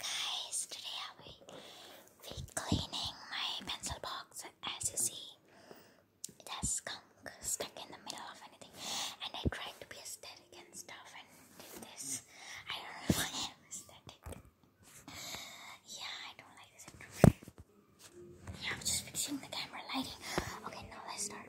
Guys, today I will be cleaning my pencil box. As you see, it skunk stuck in the middle of anything. And I tried to be aesthetic and stuff and did this. I don't know if I am aesthetic. Yeah, I don't like this intro. Yeah, I'm just fixing the camera lighting. Okay, now let's start.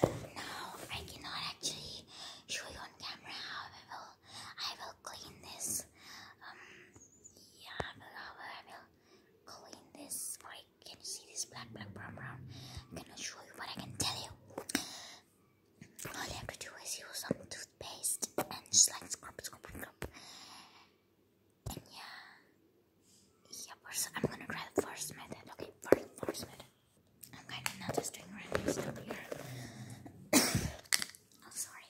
Now I cannot actually show you on camera will, I will clean this. Um, yeah, I will, I will, I will clean this. For can you see this black, black, brown, brown? I cannot show you, but I can tell you. All you have to do is use some toothpaste and just like scrub, scrub, scrub. And yeah, yeah. First, I'm gonna try the first method. Okay, first, first method. I'm kind of not just doing random stuff here. I'm oh, sorry.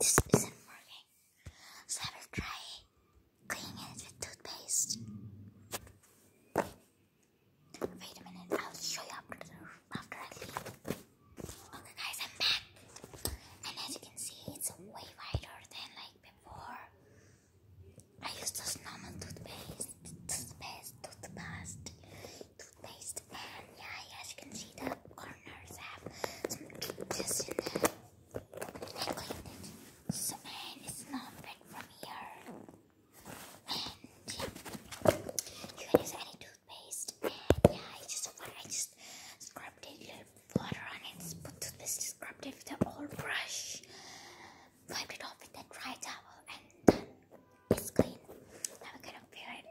This isn't working, so I will try cleaning it with toothpaste. Wait a minute, I'll show you after, after I leave. Okay guys, I'm back. And as you can see, it's way wider than like before. I used this normal toothpaste, toothpaste, toothpaste toothpaste and yeah, as you can see the corners have some edges in them. I cleaned it. So and it's not bad from here. And yeah, you can use any toothpaste. And yeah, I just I just scrubbed it, with water on it, put toothpaste, scrubbed it with the old brush, wiped it off with a dry towel, it's clean. Now we're gonna fill it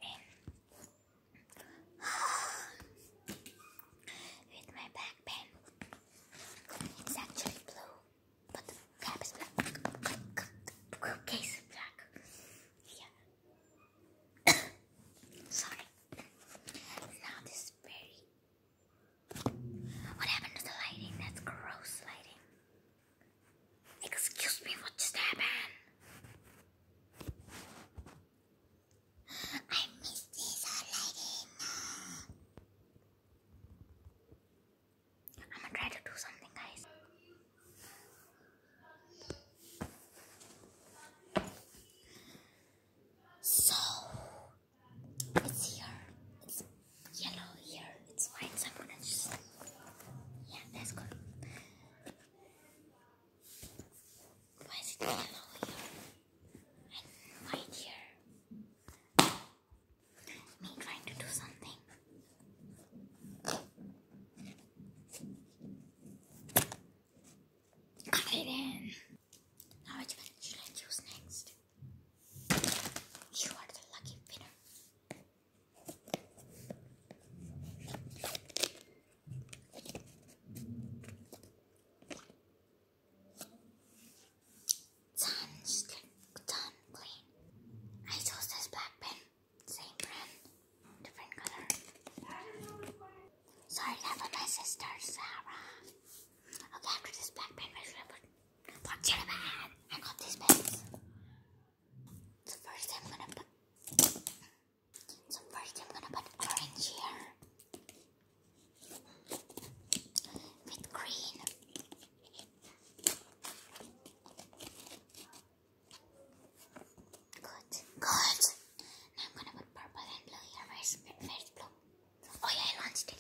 in with my back pen. It's actually blue, but the cap is black. The case is black. Yeah. Sorry. Now this is what happened to the lighting? That's gross lighting. Excuse me, what just happened? I miss this lighting. I'm gonna try to do something, guys. So, it's here. It's yellow here. It's white. So just yeah. That's good. Why is it yellow here and white here? Me trying to do something. Cut it now which one should I choose next? You are the lucky winner. Sun's done clean. I chose this black pen, same brand, different color. Sorry, that was my sister Sarah. Okay, after this black pen, where should I put? Fuck your man! I got these pens. So first I'm gonna put. So first I'm gonna put orange here with green. Good, good. Now I'm gonna put purple and blue here. Where's, where's blue? Oh yeah, I launched it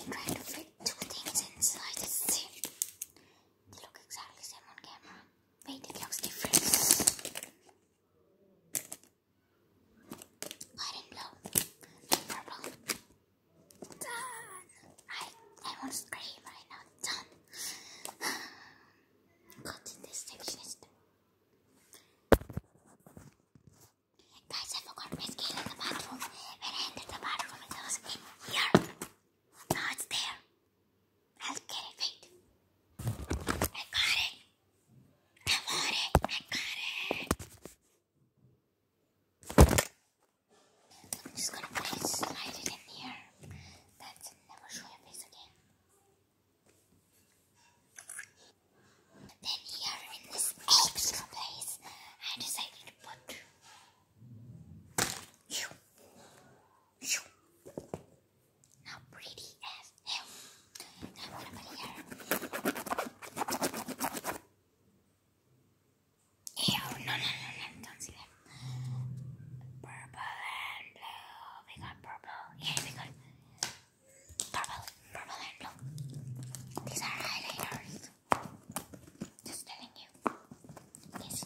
I'm trying to fit two things inside. It's the They look exactly same on camera. Wait, it looks different. White and blue. And purple. Done! I, I want to scream right now. Done. God, this section is Guys, I forgot my scale in the bathroom. When I entered the bathroom, it was in here. Now it's there. I'll get it. Wait. I got it. I want it. I got it. I'm just gonna put it, slide it in here. That's never show your face again. Then here in this extra place, I decided to put You. How pretty as hell. Now what about here? Ew, no, no, no, no, don't see that. Purple and blue. We got purple. Yeah, we got purple, purple and blue. These are highlighters. Just telling you. Yes.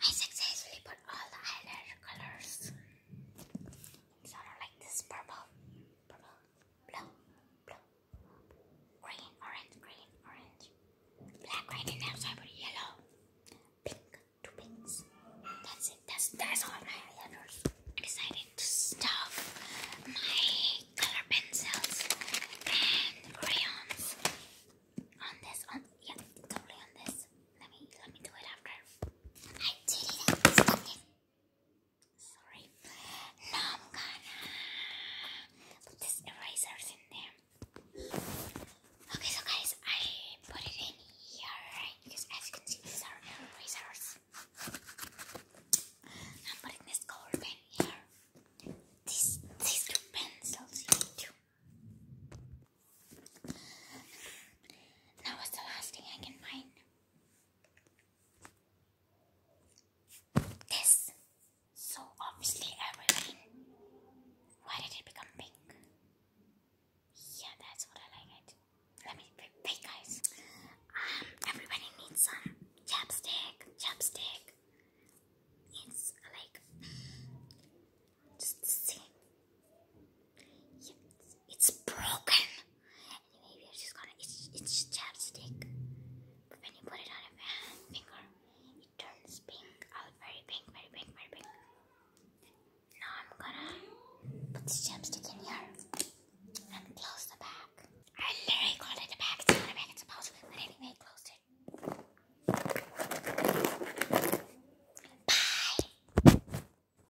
I successfully put all the highlighter colors. Sort of like this purple, purple, blue, blue, green, orange, green, orange, black, white, and outside with yellow, pink, two pinks. That's it. That's that's all my letters. I decided to stuff my color pencils and crayons on this. On yeah, totally on this. Let me let me do it after. I did it. I Sorry. Now I'm gonna put these erasers in there. Okay, so guys, I put it in here, Because as you can see, these are erasers. I'm putting this color pen here. These these two pencils here too. Now what's the last thing I can find? this. So obviously I Why did it become pink? Yeah, that's what I like it. Let me wait guys. Um everybody needs some chapstick, chapstick. It's like just the same. it's broken maybe i just gonna it's it's chapstick. But when you put it on your finger, it turns pink out very pink, very pink, very pink. Now I'm gonna put this chapstick in here and close the bag. I literally called it bag, it's not a bag, it's a pouch, but anyway, closed it. Bye!